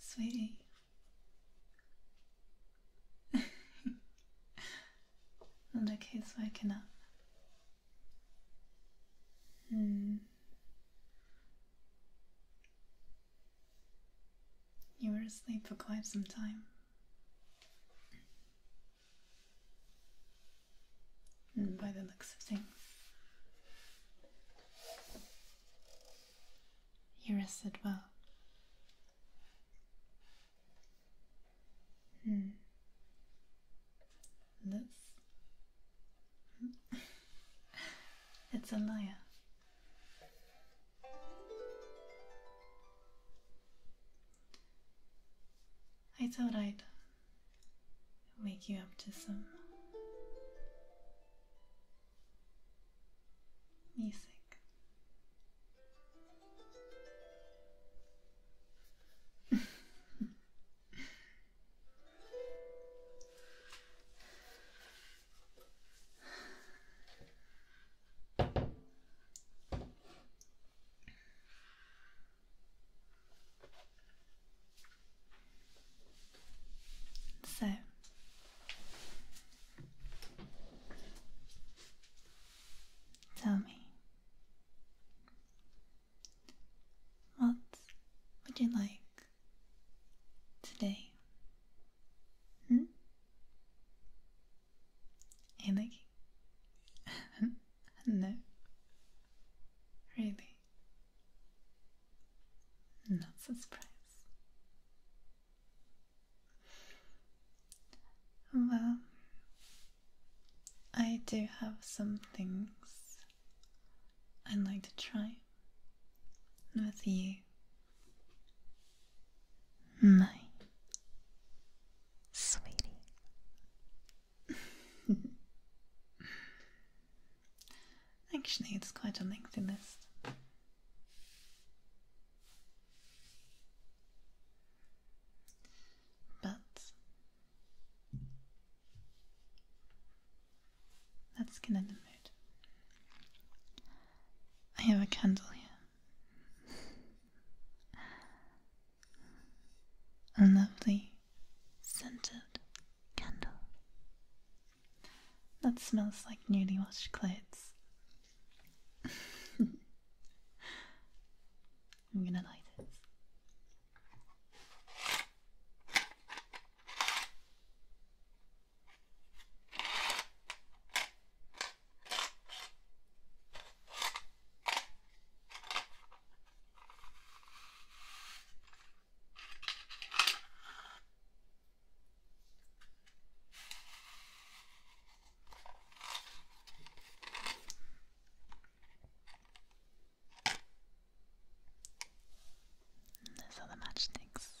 Sweetie. Look who's waking up. Hmm. You were asleep for quite some time. Mm, by the looks of things. You rested well. Hmm. This. it's a liar. I thought wake you up to some music. So tell me, what would you like today? Hmm? Hey, No. Really? Not surprised. Well, I do have some things I'd like to try with you. My sweetie. Actually, it's quite a lengthy list. But let's get in the mood. I have a candle here a lovely scented candle that smells like newly washed clothes. I'm gonna light it. And those are the matchsticks.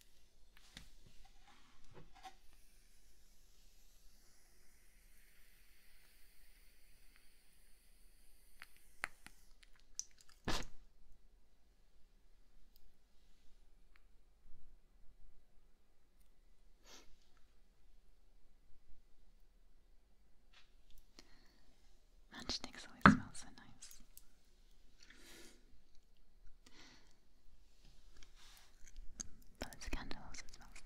Matchsticks always smell so nice. But this candle also smells nice.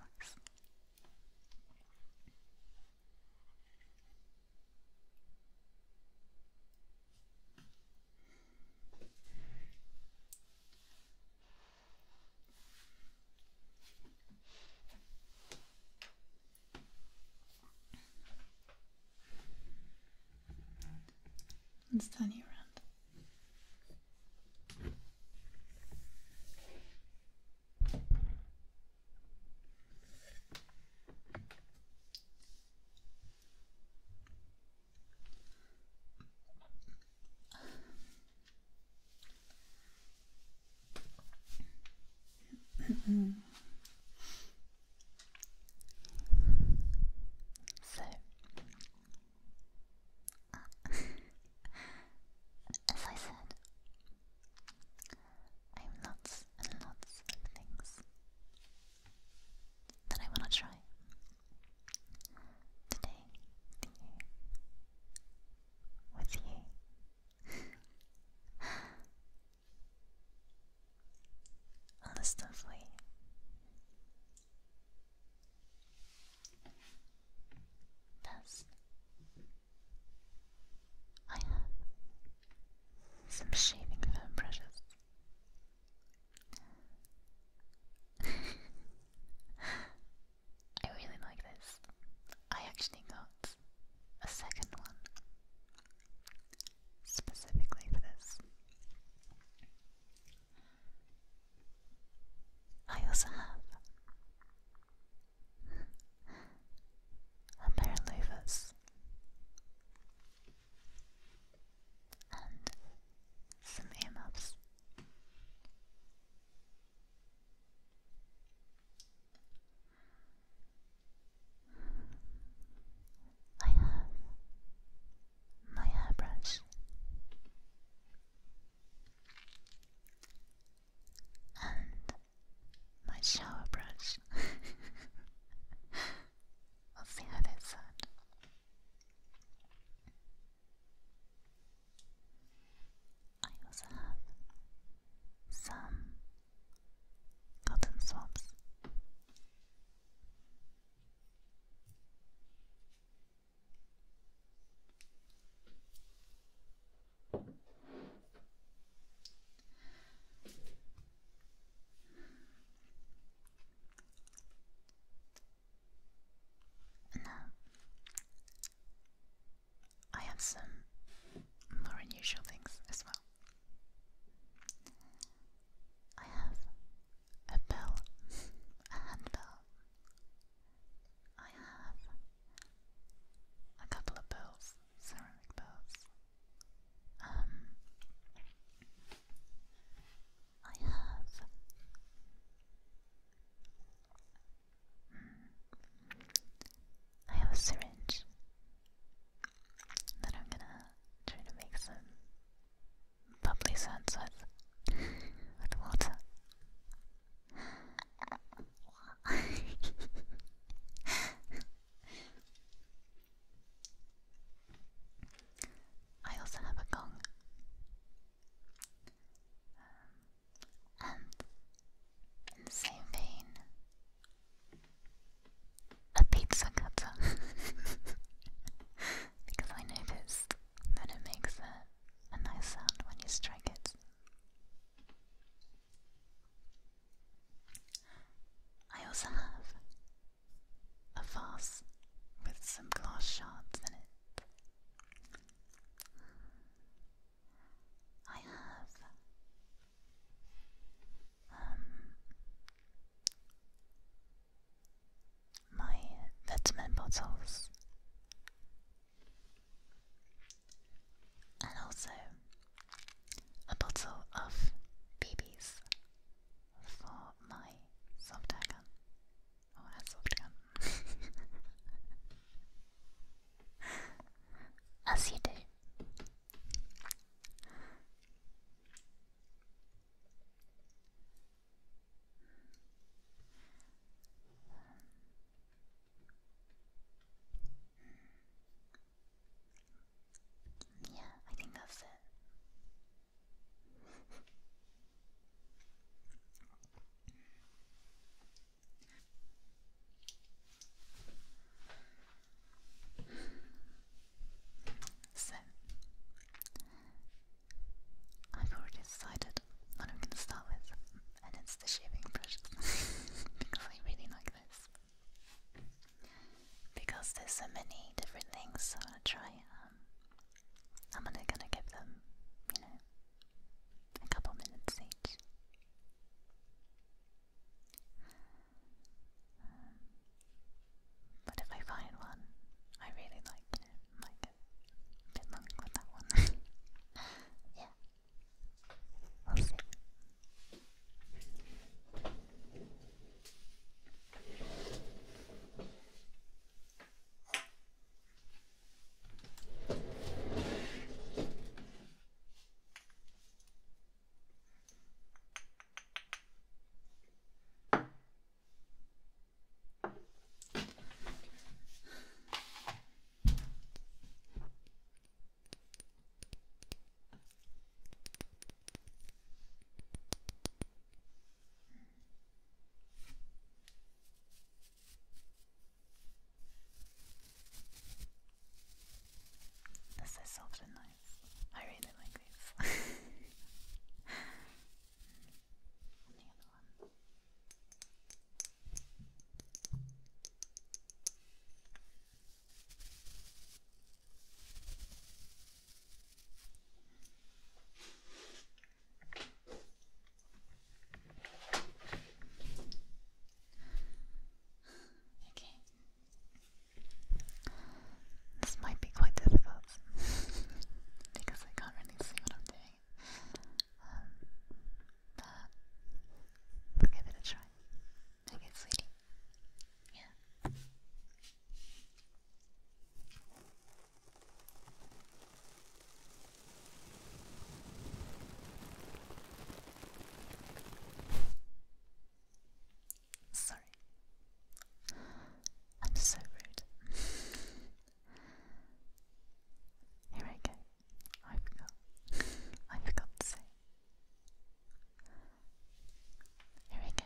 Let's turn you around. So, uh, as I said, I have lots and lots of things that I want to try today with you. Understandably. Thus, I have some shaving foam brushes. I really like this. I actually got a second one specifically for this. I also have a pair of louvers and some earmuffs. I have my hairbrush. And my shower brush. we'll see how they sound. I also have some cotton swabs and now, uh, I have some more unusual things as well. I have a bell, a handbell. I have a couple of bells, ceramic bells. Um, I have I have a syringe that I'm gonna try to make some lovely sunsets with water. I also have a gong. Um, and in the same vein, a pizza cutter. because I noticed that it makes a, nice sound when you strike it. I also have a vase with some glass shards in it. I have um, my vitamin bottles. And also a bottle of BBs for my soft air gun. Oh, a soft gun. As you do. Yeah, I think that's it. So, I've already decided what I'm going to start with, and it's the shaving brushes because I really like this. Because there's so many different things, so I'm gonna try. Um, I'm only gonna give them, you know, a couple minutes each. Um, but if I find one, I really like it. Might bit long with that one. yeah. This is often nice. I really like these. Okay. This might be quite difficult because I can't really see what I'm doing. Um, but give it a try. Okay, sweetie. Yeah. Sorry. I'm so rude. Here I go. I forgot. I forgot to say. Here I go.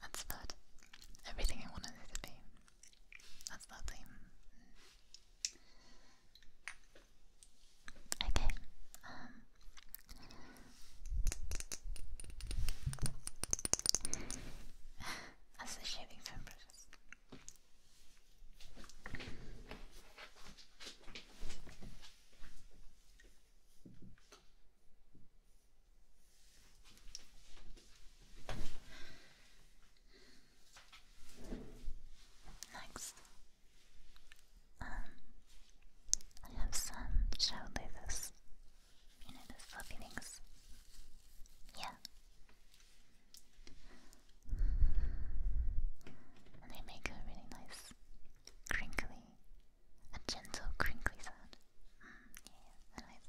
That's about everything I wanted it to be. That's lovely. Okay. Um. That's the shaving from brushes. Next, um, I have some shell leathers. You know, the fluffy things. Yeah. they make a really nice crinkly, a gentle crinkly sound. Mm, yeah, yeah, nice.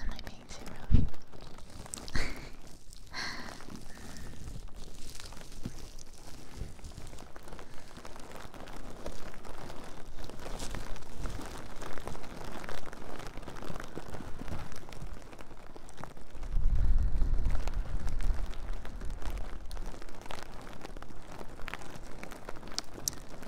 Am I being too rough?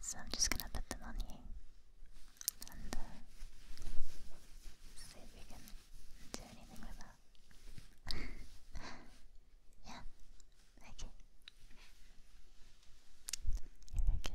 So I'm just gonna put them on you and uh, see if we can do anything with that. yeah, okay. Here we go.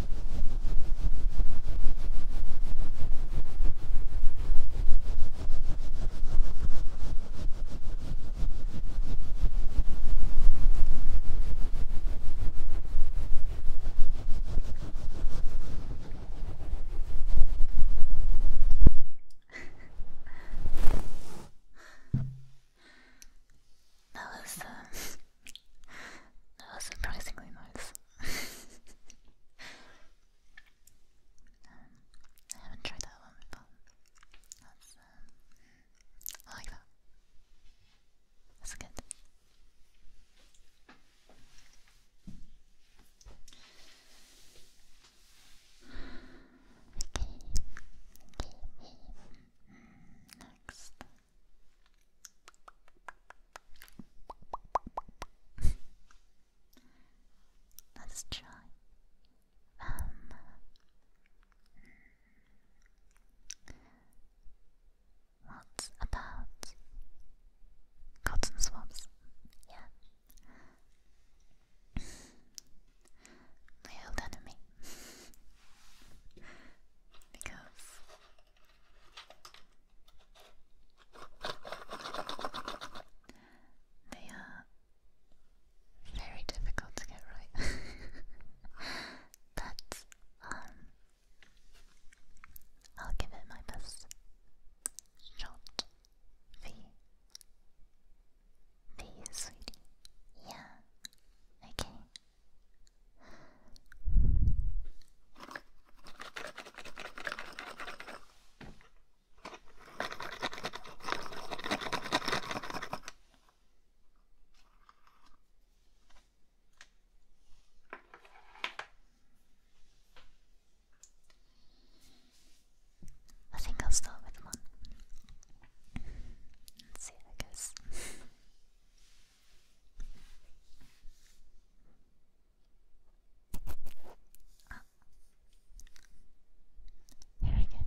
that was uh, that was surprisingly nice um, I haven't tried that one That's um, I like that. That's good. Okay. Next. Let's try. Um, what about cotton swabs? Yeah. My old enemy. because they are very difficult to get right. but um, I'll give it my best shot. V V sweetie. Yeah. Okay. I think I'll start with one. Let's see how it Ah. Here we go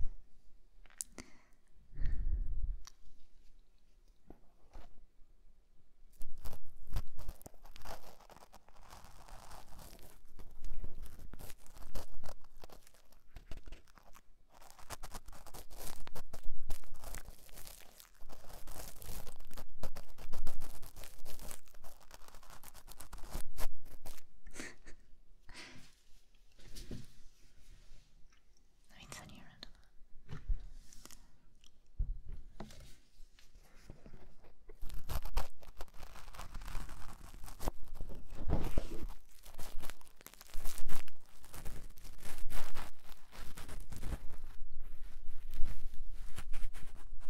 no it's on your end.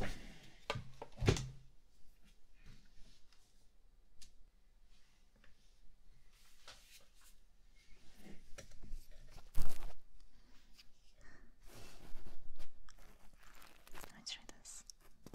Let me try this.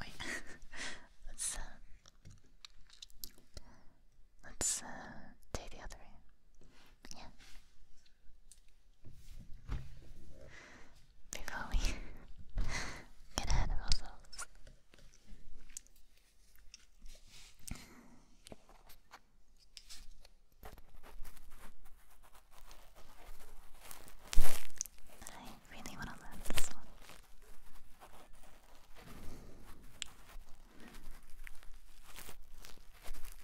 Wait, let's let's uh, uh the other. Yeah before we get ahead of ourselves. I really want to learn this one.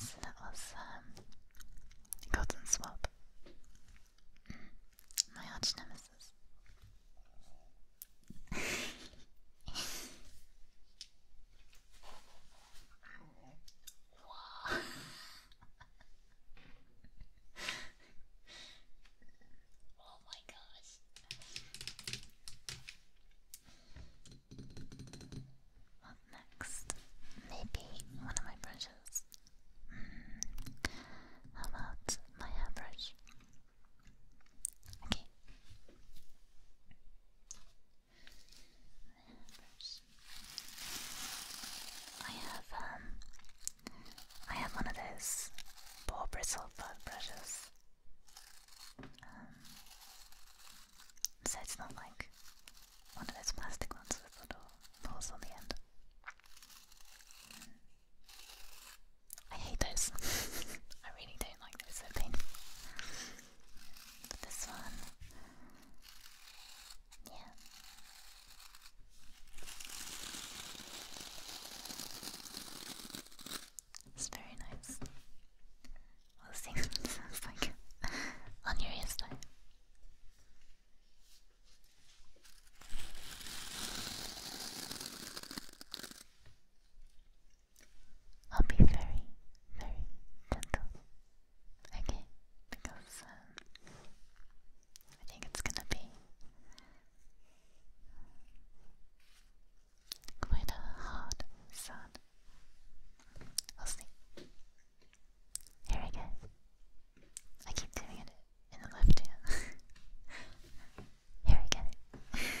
So that was um, Cotton Swab, my arch nemesis. Oh my gosh. What next? Maybe one of my brushes. Mm. about my hairbrush? Okay. I have um I have one of those ball bristle bug brushes. Um, so not like one of those plastic ones with little balls on the end. I hate those. I really don't like those this one. Yeah. It's very nice. We'll see what it sounds like on your ears time. I'll be very, very gentle. Okay, because um, I think it's gonna be quite a hard sound. We'll see. Here I go. I keep doing it in the left ear. Here we go.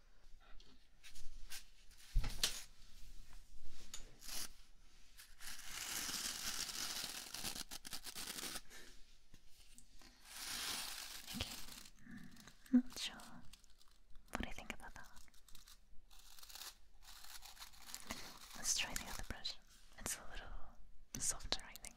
Okay. Mm, not sure. What do you think about that? Let's try the other brush. It's a little softer, I think.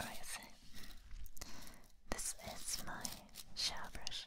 Alright, this is my shower brush.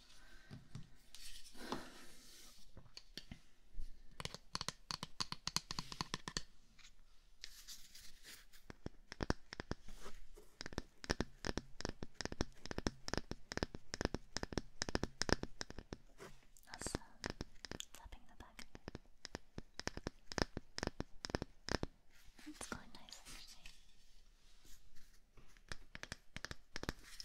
Awesome. Tapping uh, the back. That's quite nice actually. What about the other brush?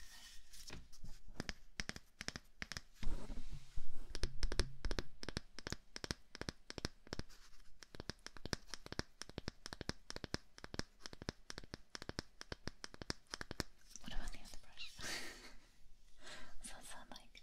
What's that sound like?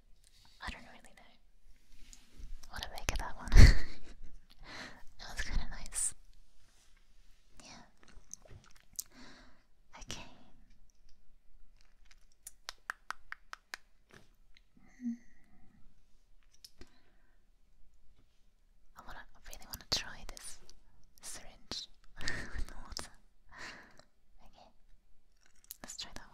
I don't really know what to make of that one. that was kind of nice. Yeah. Okay. Hmm. I wanna, I really want to try this syringe with water. Okay, let's try that one.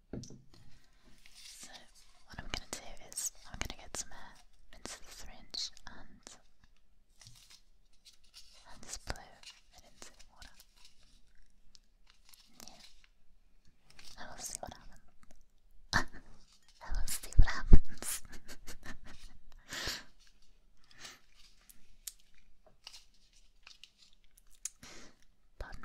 So what I'm going to do is I'm going to get some air into the syringe and and just blow it into the water. Yeah, and will see what happens. and will see what happens. Pardon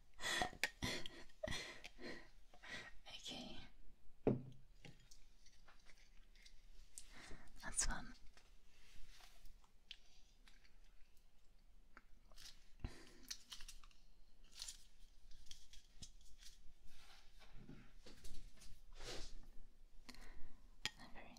okay. That's fun. Very,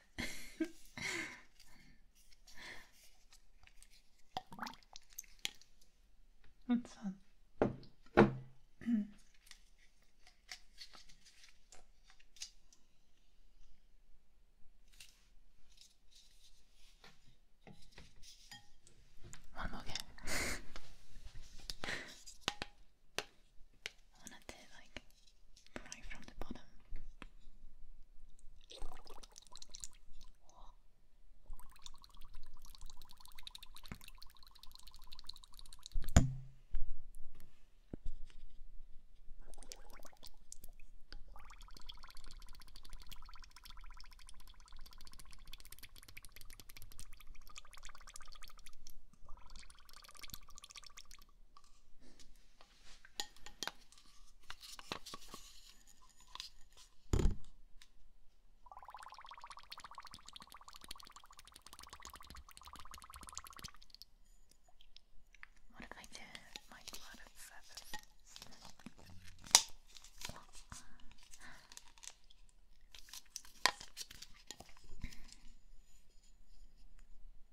That's fun. One more game. I like right from the bottom. What if I did my blood at seven?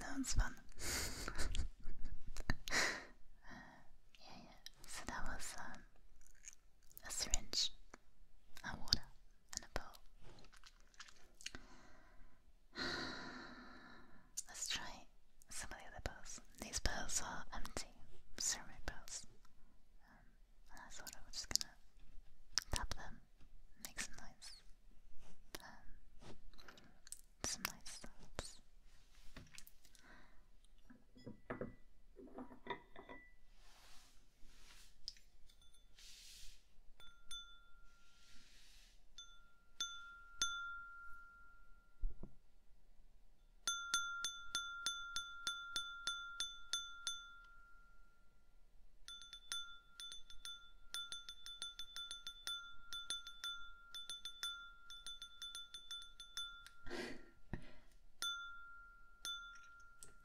Sounds fun. yeah, yeah. So that was um, a syringe, a water, and a bowl. Let's try some of the other bowls. These balls are empty, ceramic bowls. I thought I was just gonna tap them, make some noise, um, some nice sounds.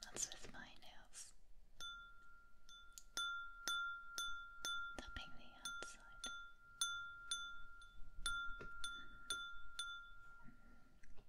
That's with my nails. Tapping the outside.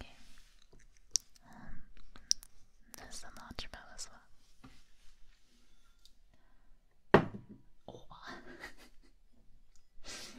Okay. Um, there's the marshmallow as well. Oh.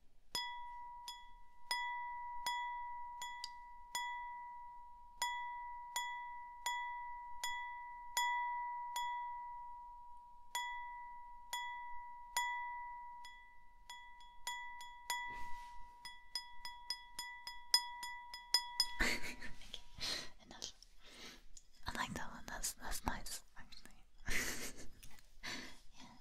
okay. Enough. I like that one. That's that's nice, actually.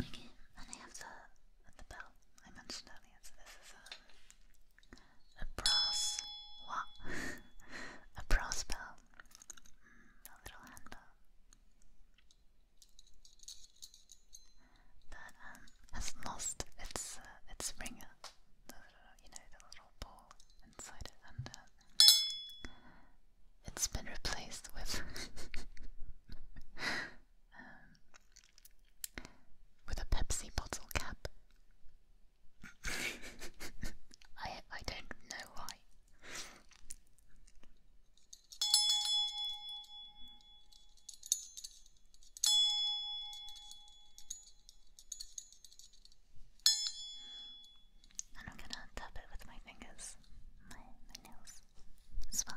Okay, and I have the the bell I mentioned earlier. So this is a a brass a brass bell, mm, a little hand that um, has lost its uh, its ringer. The little, you know, the little ball inside it, and uh, it's been replaced with Um, with a Pepsi bottle cap. I I don't know why. And I'm gonna tap it with my fingers, my nails as well.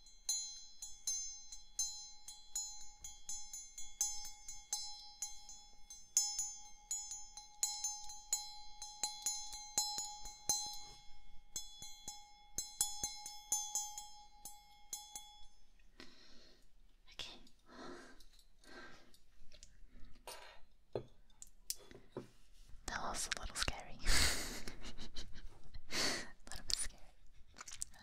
Okay. That was a little scary. a little bit scary. Um,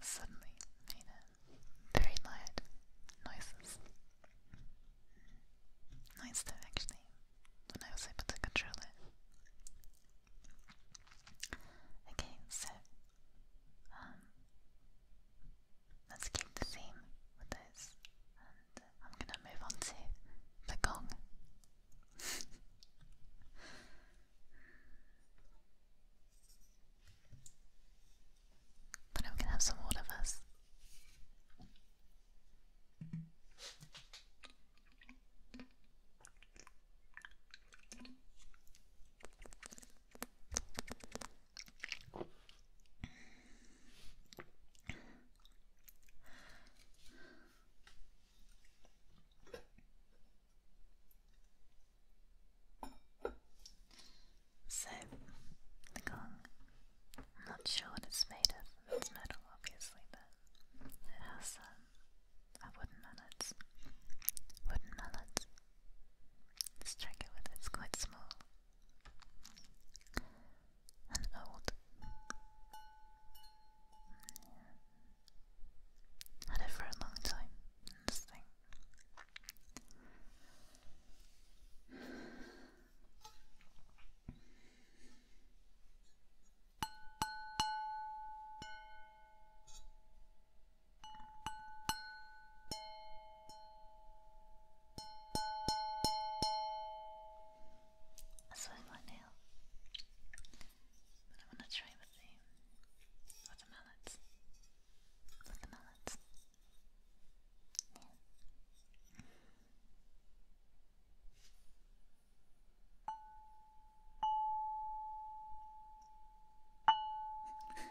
suddenly made a very loud noises. Nice though actually, when I was able to control it. Okay, so um, let's keep the theme with this and I'm gonna move on to the gong. But I'm gonna have some water first. So, the gong. I'm not sure what it's made of. It's metal, obviously, but it has um, a wooden mallet. Wooden mallet. Strike it with it's quite small. And old. Had it for a long time. This thing. That's with my nail. I'm going to try with the with mallets. With the mallets. Yeah.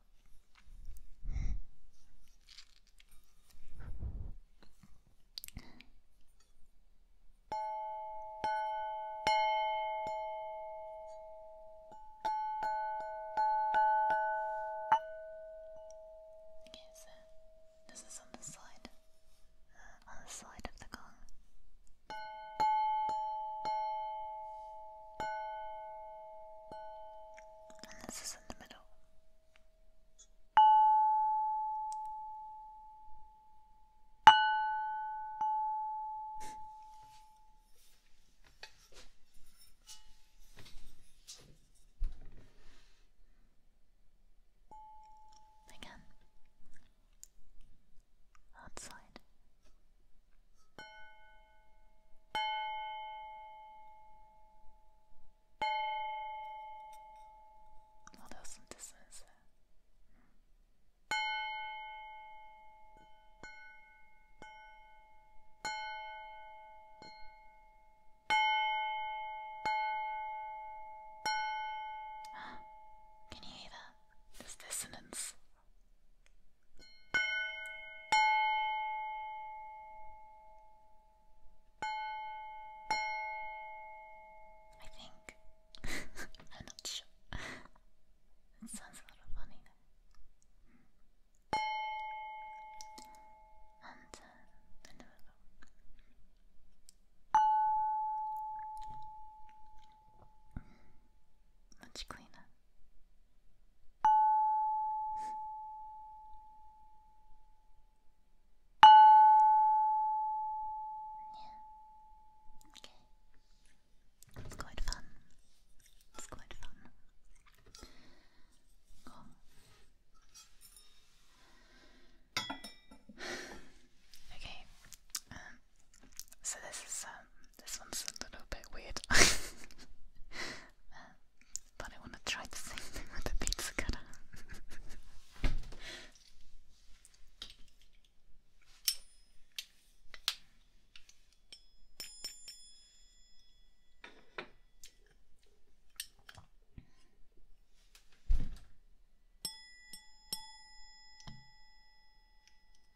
Okay, so this is on the side, uh, on the side of the gong and this is in the middle. Again, outside. Well, some dissonance Can you hear that? There's dissonance. I think. I'm not sure. It sounds a uh, little funny though. Much cleaner. Yeah. Okay. It's quite fun. It's quite fun. Oh. okay. Um, so this is um, this one's a little bit weird. but I want to try the same thing with the pizza cutter.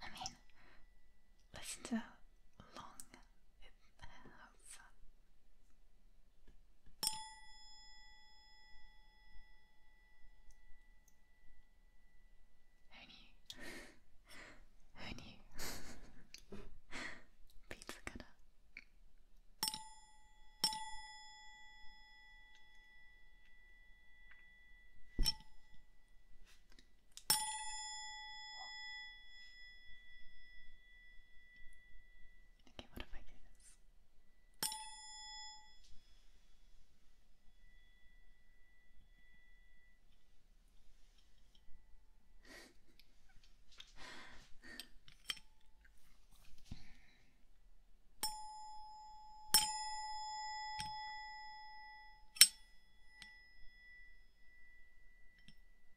I mean, listen to long it have. Honey, honey, pizza cutter. Okay, what if I do this?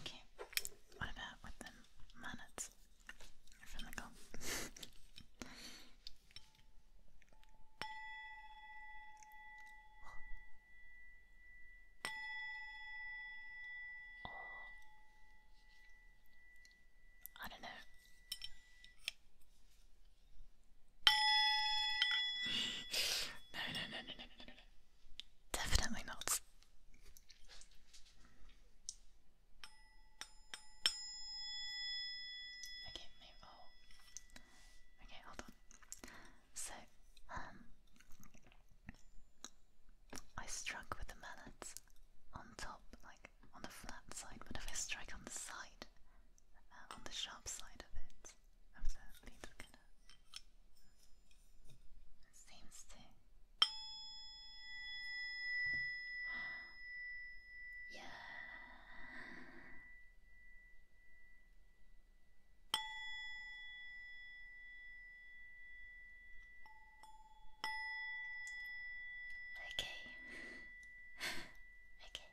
Okay, what about with the from the gong? I don't know no, no, no, no, no, no, no. Definitely not. Okay, maybe. Oh. Okay, hold on. So, um, I struck with the mallet on top, like on the flat side. What if I strike on the side, uh, on the sharp side of it? absolutely not seems to yeah Okay. okay.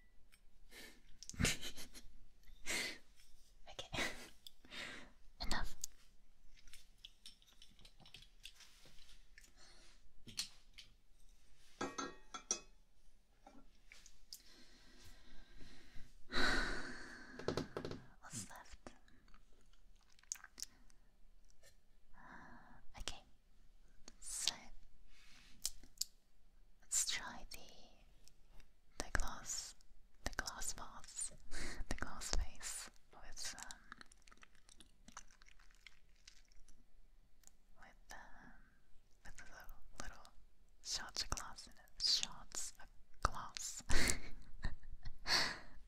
okay. Enough. What's left? okay. So let's try the the glass the glass vase the glass vase with um, with um, with a little, little shots of glass in it shots of glass.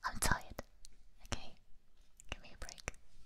I'm tired. Okay, give me a break.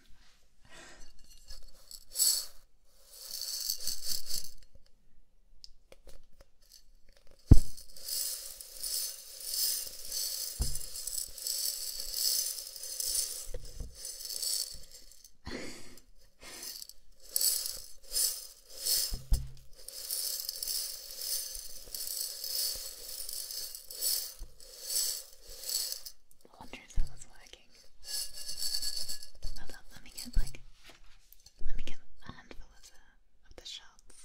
I wonder if that was working. Hold up, let me get like, let me get a handful of the, of the shards.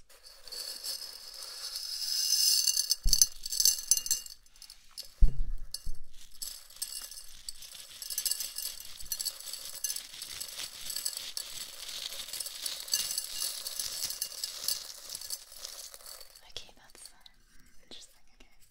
Okay, that's um, interesting, okay.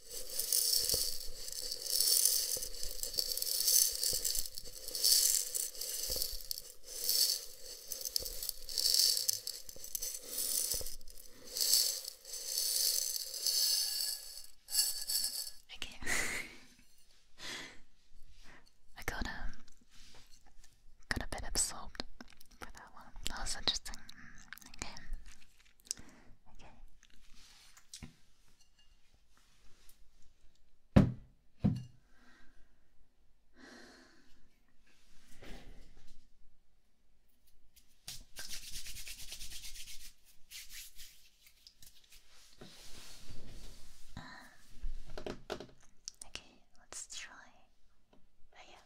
Okay. I got um got a bit absorbed with that one. That was interesting. Okay. Okay. Um, okay, let's try. Oh yeah,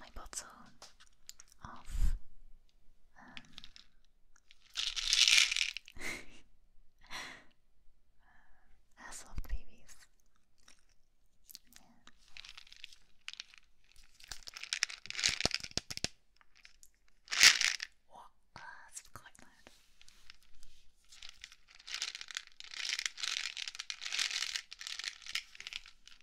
my bottle of um, soft babies. What? that's quite loud.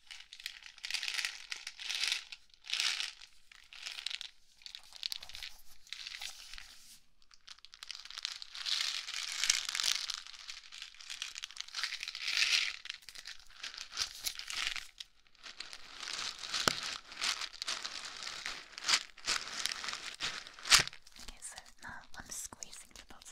Okay, so now I'm squeezing the bottle.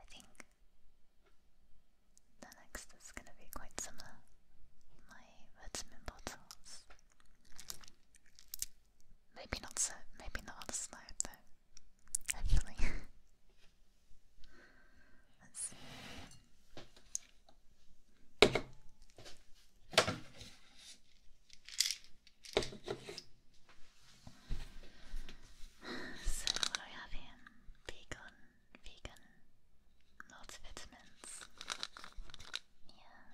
I think the next is gonna be quite similar. My vitamin bottles. Maybe not so. Maybe not on a slide though. Hopefully. Let's see. So what I have here? Vegan, vegan, multivitamins. Yeah.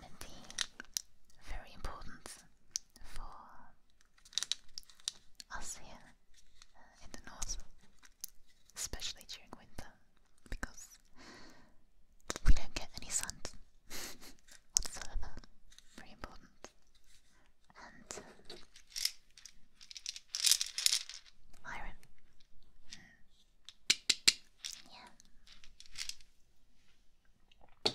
And uh, very important for us here in the north, especially during winter, because we don't get any sun whatsoever. Very important. And uh, iron. Hmm. Yeah.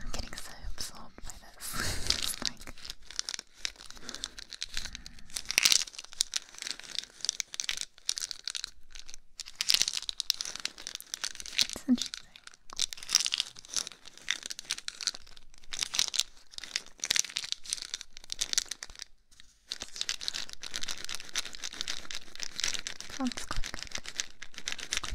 I'm getting so absorbed by this. it's interesting.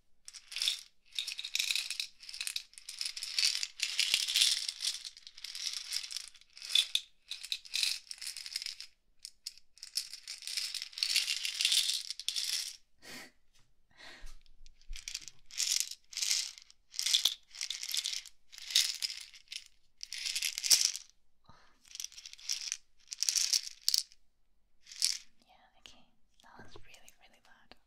yeah, okay, that was really, really loud.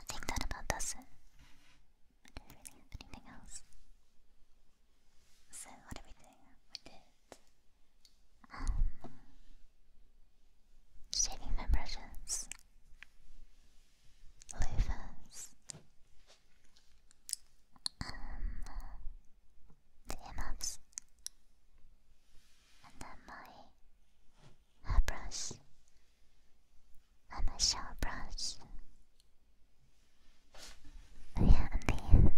I think that about does it. don't have anything else. So what are we doing? We did um, shaving brushes, loofahs, um the and then my hairbrush and my shower oh, yeah, and the,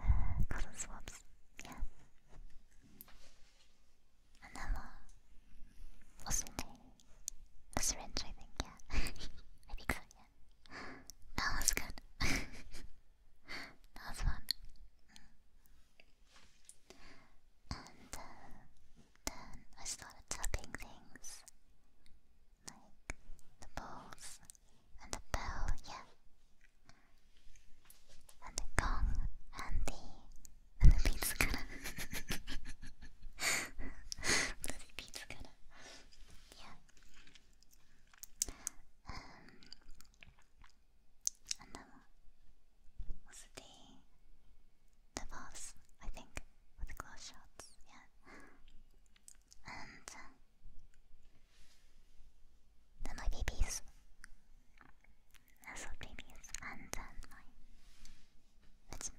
uh, the cotton swabs, yeah. And then uh, was it? The syringe, I think, yeah. I so, yeah. That was good. That's one. And uh, then I started tapping things like the balls and the bell, yeah, and the gong and the and the pizza cutter, bloody pizza cutter, yeah. Um, and then was it the the I think with the close shots, yeah. And um, then my babies, asshole babies, and then my bits and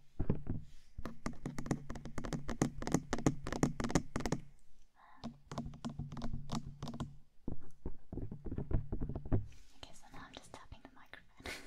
Okay, so now I'm just tapping the microphone.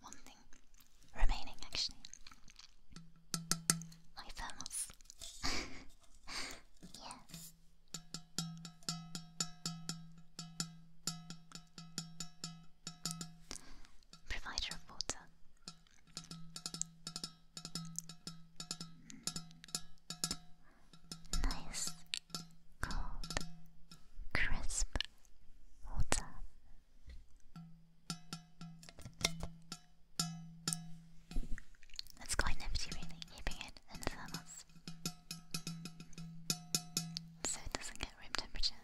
one thing remaining actually. My thermals. yes. Provider water. Nice, cold, crisp water that's quite nifty really, keeping it in thermos. So it doesn't get room temperature.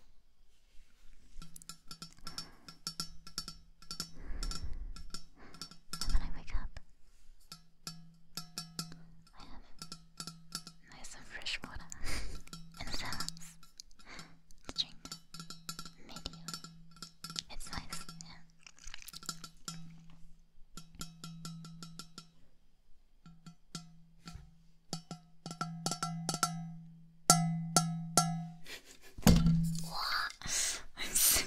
And when I wake up, I have nice and fresh water in the thermos drink It's nice, yeah. what? I'm so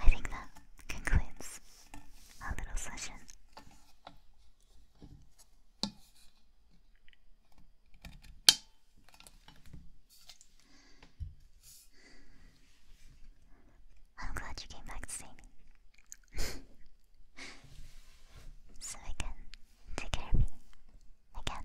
I think that concludes our little session. I'm glad you came back to see me. so I can take care of you again.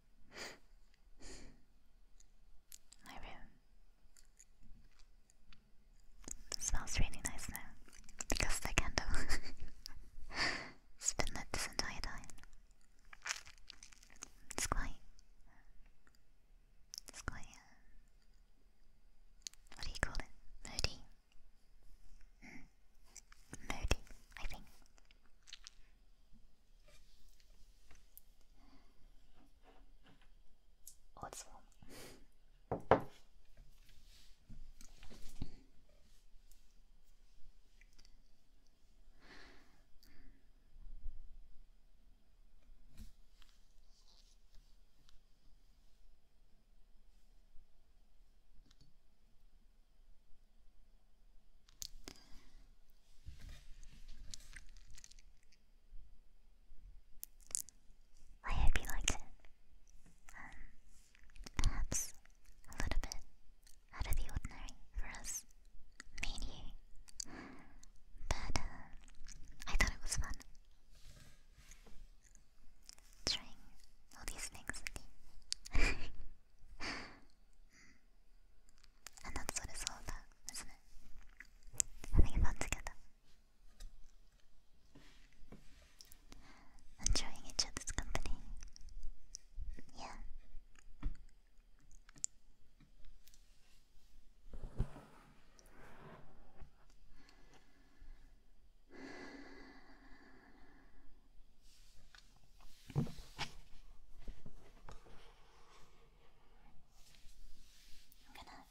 My room. smells really nice now because the candle. it's been lit this entire time. It's quite. It's quite. Uh, what do you call it? Moody. Hmm moody, I think. Oh, it's I hope you liked it. Um, perhaps a little bit out of the ordinary for us, me and you. But uh, I thought it was fun trying all these things And that's what it's all about, Having fun together. Enjoying each other's company. Yeah. I'm gonna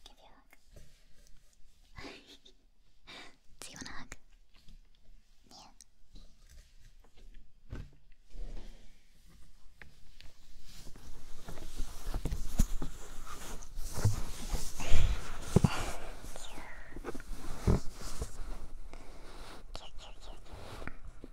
give you a hug. Do you hug? Yeah.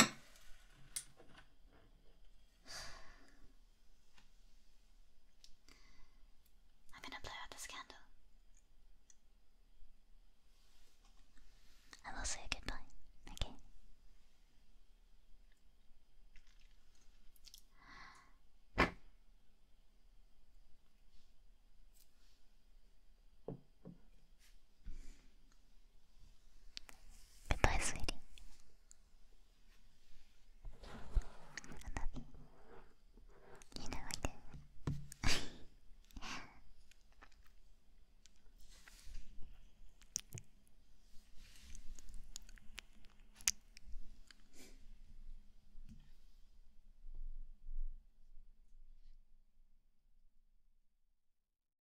I'm gonna blow out this candle. I will say goodbye, okay? Goodbye, sweetie. I love you. You know I